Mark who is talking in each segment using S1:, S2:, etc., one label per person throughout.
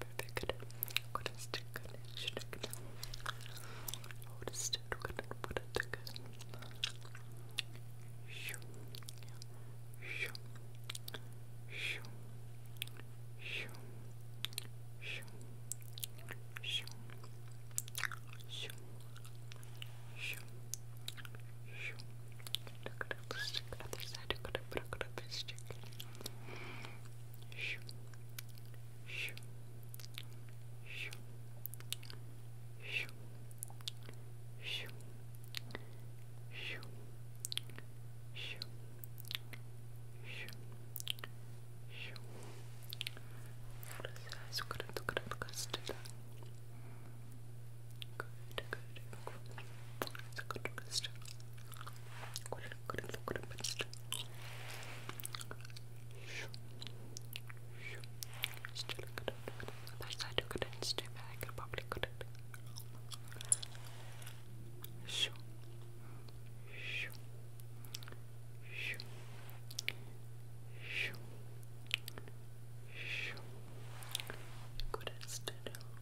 S1: perfect good connection noticed it couldn't put it together shoo shoo shoo shoo shoo shoo shoo shoo shoo Look at it, stick it on the side, look at it, look at it, stick it shoo, shoo, shoo, shoo, shoo, shoo, shoo, shoo, shoo. Yes, good, good, good. Good, good, good. Good, good, good. Still good. Other side couldn't stay back. I probably couldn't. Shoo. Shoo. Shoo. Shoo. Shoo. Couldn't stay down.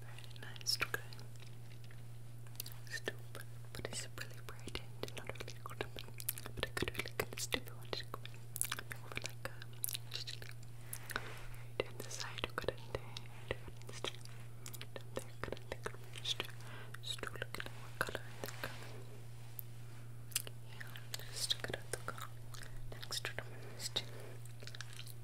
S1: Very nice, okay. Stupid, but it's really bright and not really good. But I could really get stupid one to go over like um, right in the side, you could end it. And there, could I think could manage to still look at what color I think. Yeah, just stick it at the car next to the most.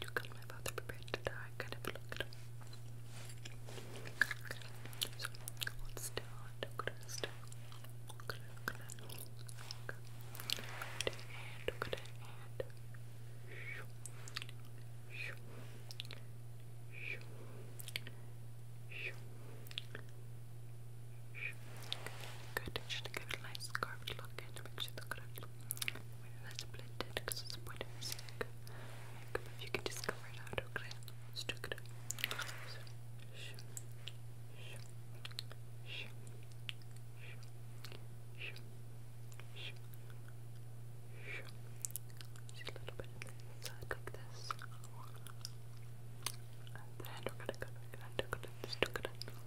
S1: you got my father prepared to die, kind of look. Okay, so let's start. I'm gonna start. Okay, okay, okay. And, okay, and. Shoo, shoo, shoo, shoo. Good, just to give it a nice curved look and make sure the curve Wait, let's blend it because it's a point if you can just cover it out, okay? Let's do it. So, sh sh sh sh sh sh just a little bit on the inside like this. And then we're gonna go, we're gonna do it, let's do it.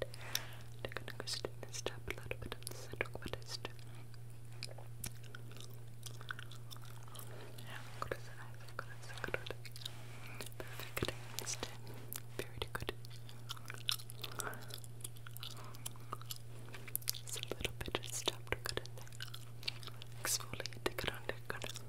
S1: they're gonna go step a little bit of what is good as good Very good. a little bit of stuff good in there. Exfoliate, take it on, take it on.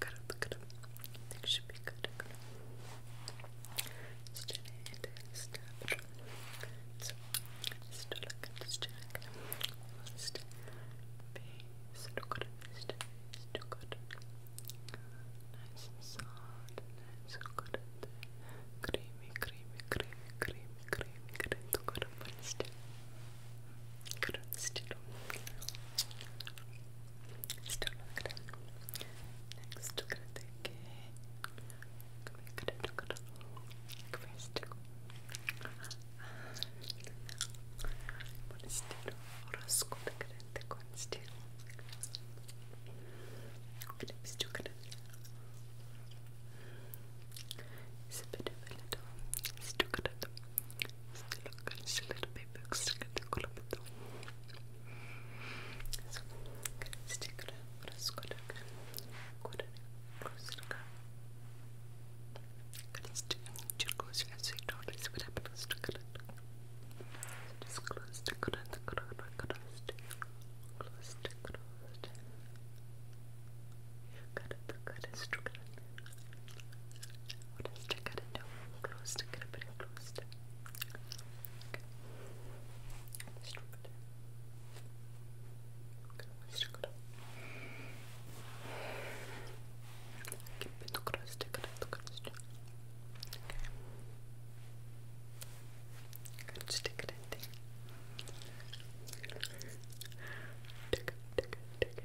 S1: Good, good. should be good. good. Just check it. Stop. So, good. So good. Nice soft. Nice good. Creamy, creamy, creamy, creamy, creamy, creamy. So good. 그런 스티로 스티로 그래 넥스트 그래 되게 그래 그래 그래 그래 스티로 이번 스티로 오라스코 그래 되고 스티로 그래 스티로 그래 it's a bit of a little stuccato still look good, still a little bit but So, stick just close your eyes so you don't see what happens to it. Just close the close the close the close the close the what does to cut into? Close to cut it close to. Okay. Just rub it. Just rub it. Keep it close to it close to. Okay. Just it in there. Take it, take it, take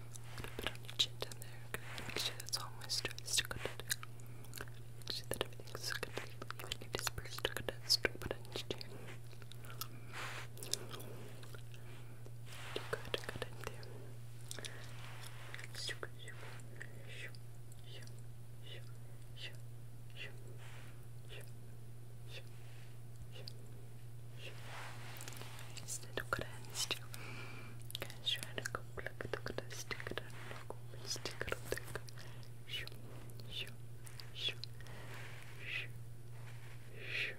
S1: A little on your chin down there. make sure that's all moisturized. Good. Make sure that everything's good. Even if good. Strip on your chin. Good, good there. Shoop, shoop, shoop, shoop, shoop, shoop, shoop, shoop, shoop, shoop, Este dokręcił. Kęsiorek komplek dokręcił. Kęsiorek komplek dokręcił. Siu, siu, siu, siu, siu, siu, siu,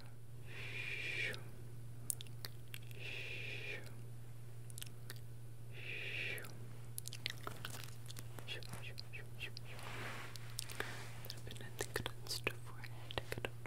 S1: siu. Shoot, shoot, shoot, shoot, shoot. A little bit of the good stuff for it.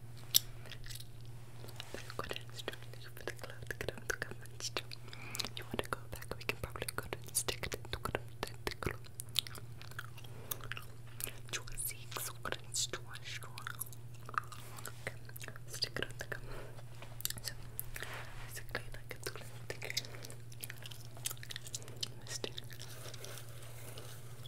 S1: But You want to go back? We can probably go to stick to the tentacle. Choices, what is choice? Okay, stick it the gum. So, basically, like it's going to stick. Stick.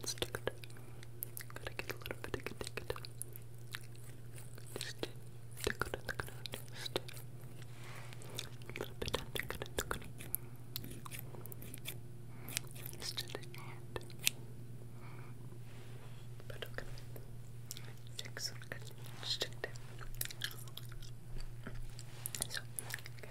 S1: Let's do it. Gotta get a little bit of a ticket. Just tick it, tick it, just a little bit of tick it, tick it. Just to the end. But okay. Check some good. Just check that. So, guys,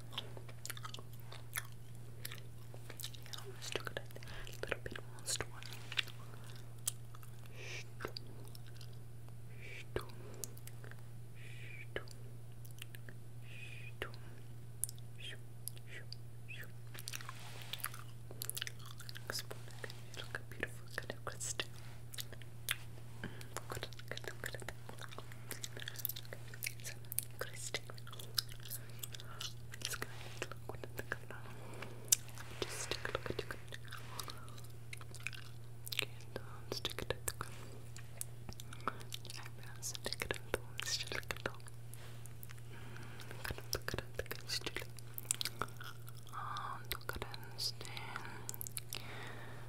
S1: good. Yeah, let's do it a little bit more strong. Explode it. Look a beautiful kind of crystal. Mm, good, good, good. So, Christian is going to look at the color. Just take a look at it. And um, stick it at the color. Eyebrows, stick it at the one, stick it at the one.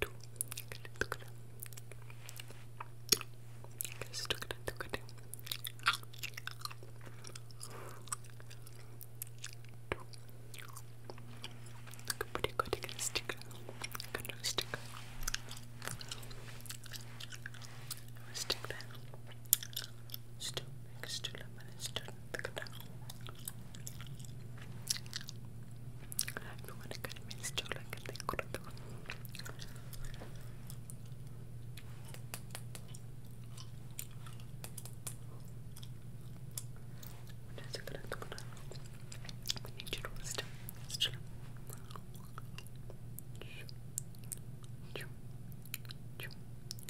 S1: Look pretty good to get a sticker. Good little sticker. Stick that. Still, make a still up and still Everyone can miss Jola and the Kurdo. Choo, choo, choo, choo, choo, choo, choo, choo, choo, choo, choo, choo, choo, choo, choo, choo, choo, choo, choo,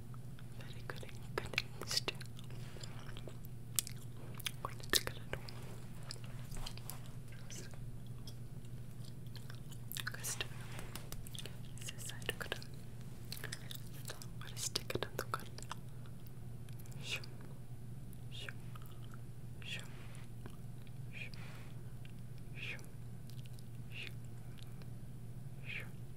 S1: very good ingredients too. What it's gonna do? Custom. This is side cut. What is ticket and the cut? Shum, shum, shum, shum, shum, shum, shum.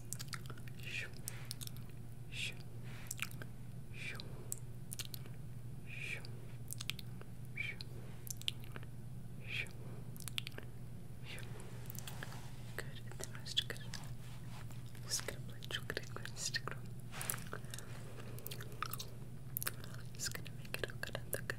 S1: Shoo. Shoo. Shoo. Shoo. Shoo. Shoo. Shoo. Good, the most good. Just gonna go Instagram. Just gonna make it look good and look good.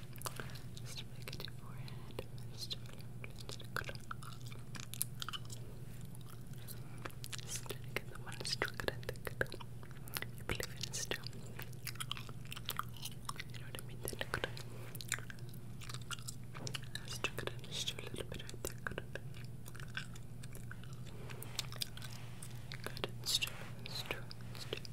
S1: Just make it your forehead. Just Just trying to get the one stroke I think. You believe in it still. You know what I mean? Then look at it. Just a little bit right there. Good. Good. It's true. It's true. It's true.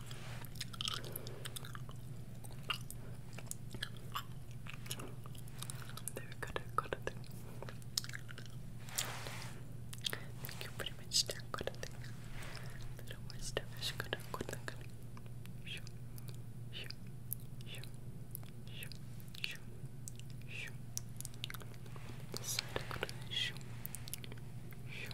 S1: Thank you they're good good, good thing. Shoo, shoo, shoo, shoo,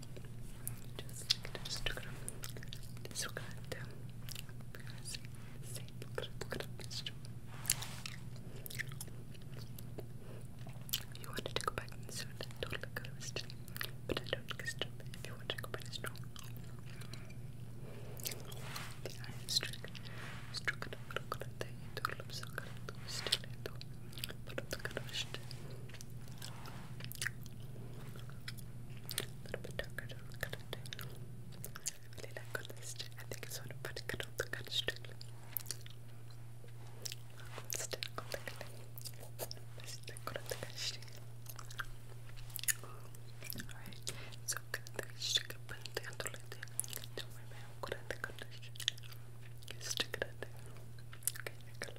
S1: Just like this. This will cut. You wanted to go back and soon. Totally good But I don't get stupid if you want to go back and strong. The iron strict. Struck it up, look at it. It looks so good. Still, it looks. But the color is still. A little bit darker I really like this. I think it's sort of pretty good on the kind of stick. Stick on the kind of stick Alright, so kind of the stick up and the other like that. Don't worry about what You Okay, I got it